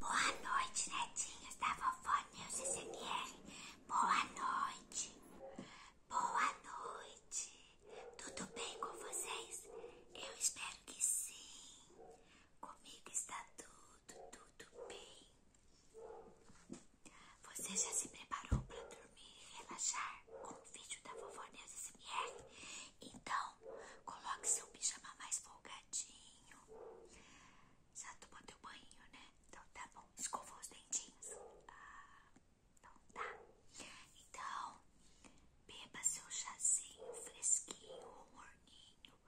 Boa noite, netinhos da vovó News SMR. Boa noite. Boa noite. Tudo bem com vocês? Eu espero que sim. Comigo está tudo, tudo bem. Você já se preparou para dormir e relaxar com o vídeo da vovó News SMR? Então, coloque seu pijama mais folgadinho. Já tomou teu banho, né? Então tá bom. Escovou os dentinhos? Ah, então tá. Então, beba seu chazinho fresquinho ou morninho.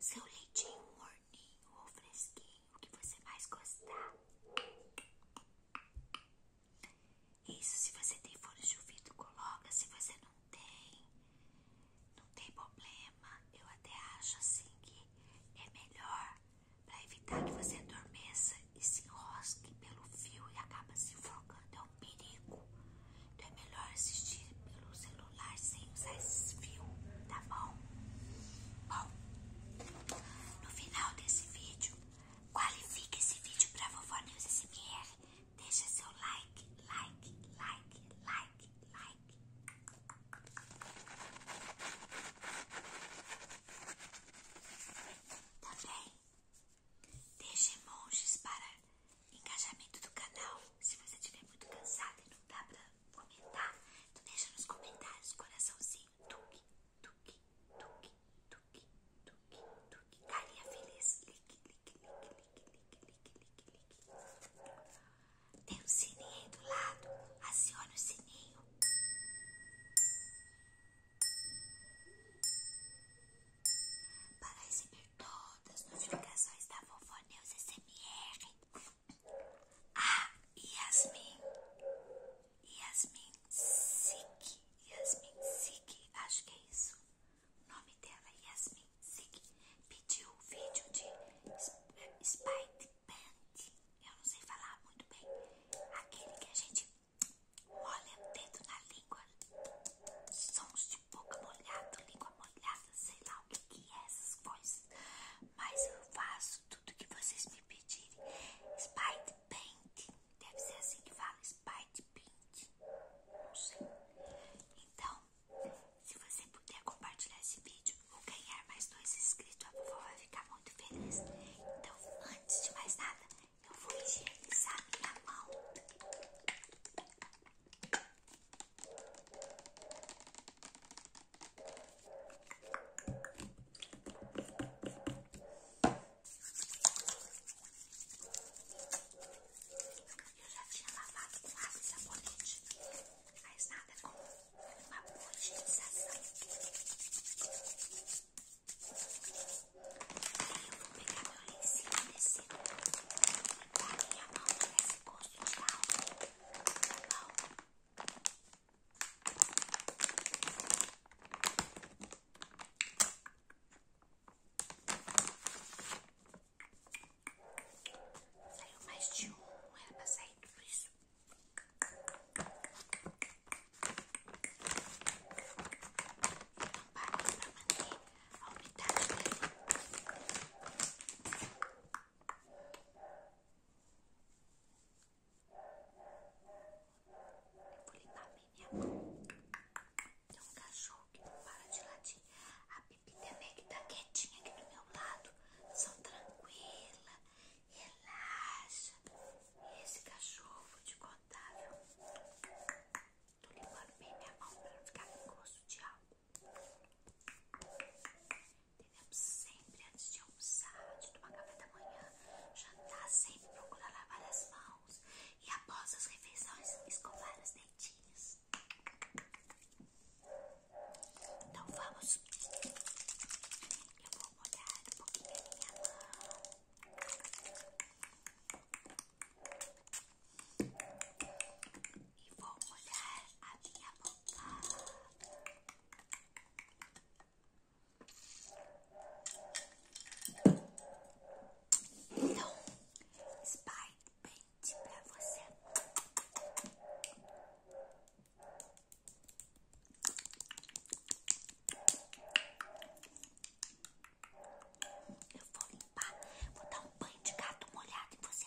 Seu leitinho morninho ou fresquinho, o que você mais gostar. Isso, se você tem fone de ouvido, coloca. Se você não não tem, não tem problema. Eu até acho assim que é melhor para evitar que você adormeça e se enrosque pelo fio e acaba se enforcando. É um perigo. Então é melhor assistir pelo celular sem usar esse fio, tá bom? Bom, no final desse vídeo, qualifique esse vídeo para vovó News SMR. Deixa seu like, like, like, like, like. Também tá deixa emojis para engajamento do canal. Se você estiver muito cansado e não dá para comentar, tu deixa nos comentários coraçãozinho. Tuque, tuque, tuque, tuque, tuque, tuque. Que carinha feliz. Lique, lique, lique, lique, lique, lique, lique, lique. Tem um sininho aí do lado. Acione o sininho. Para receber todas as notificações da Vovó Neus SMR. Ah, Yasmin. Yasmin Sik. Yasmin Sik. Acho que é isso o nome dela é Yasmin Sig, pediu o vídeo de Spite Band, eu não sei falar muito bem, aquele que a gente olha o dedo na língua, sons de boca molhada, língua molhada, sei lá o que é essas coisas, mas eu faço tudo que vocês me pedirem, Spite Paint, deve ser assim que fala, Spite Paint, não sei. Então, se você puder compartilhar esse vídeo vou ganhar mais dois inscritos, a vovó vai ficar muito feliz. Então, antes de mais nada, eu vou higienizar minha mão. Eu já tinha lavado com água e sabonete, mas nada como uma boa utilização. Aí eu vou pegar meu lencinho desse, limpar minha mão para esse gosto de álcool, tá bom? Saiu mais de um, era pra sair tudo isso. Então, para manter a umidade Eu vou limpar bem minha mão. Tem um cachorro que não para de latir. A Pipi também que tá quietinha aqui do meu lado. São tranquila, relaxa. esse cachorro, vou te contar, viu? Tô limpando bem minha mão pra não ficar com gosto de álcool. Devemos sempre, antes de almoçar, de tomar café da manhã, jantar, sempre procurar lavar as mãos e após as refeições escovar os dentinhos. Então vamos. Eu vou molhar um pouquinho a minha mão. E vou molhar a minha boca. Vou molhar então, Spy Paint pra você. Eu vou limpar, vou dar um banho de gato molhado em você.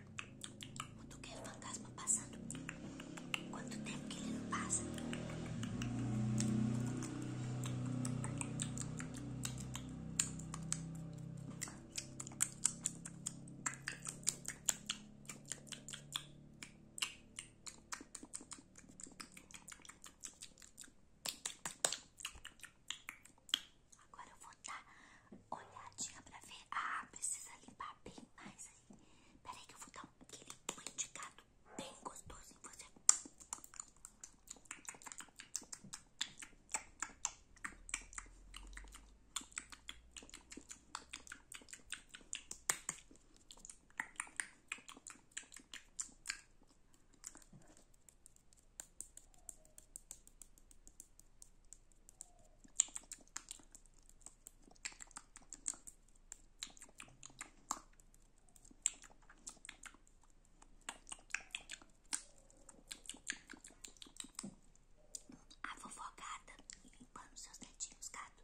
Quando quer fantasma passando, quanto tempo que ele não passa? Agora eu vou dar tá olhadinha pra ver. Ah, precisa limpar bem mais aí. Peraí que eu vou dar um, aquele indicado bem gostoso em você. A vovó gata limpando seus dentinhos, gato.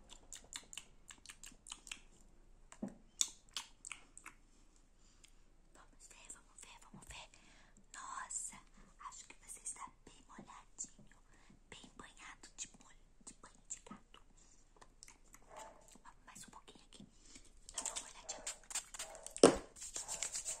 Vamos ver, vamos ver, vamos ver. Nossa, acho que você está bem molhadinho, bem banhado de molho, de banho gato. Mais um pouquinho aqui. Dá uma olhadinha. Nossa,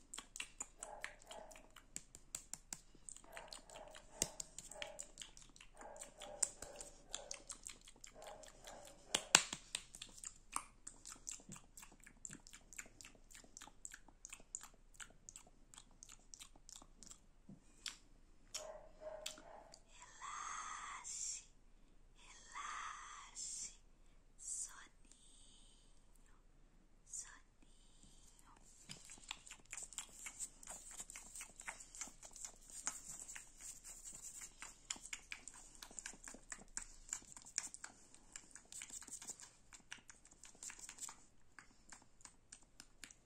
Relaxe, relaxe, soninho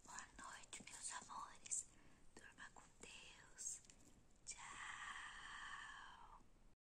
Boa noite, meus amores. Durma com Deus. Tchau.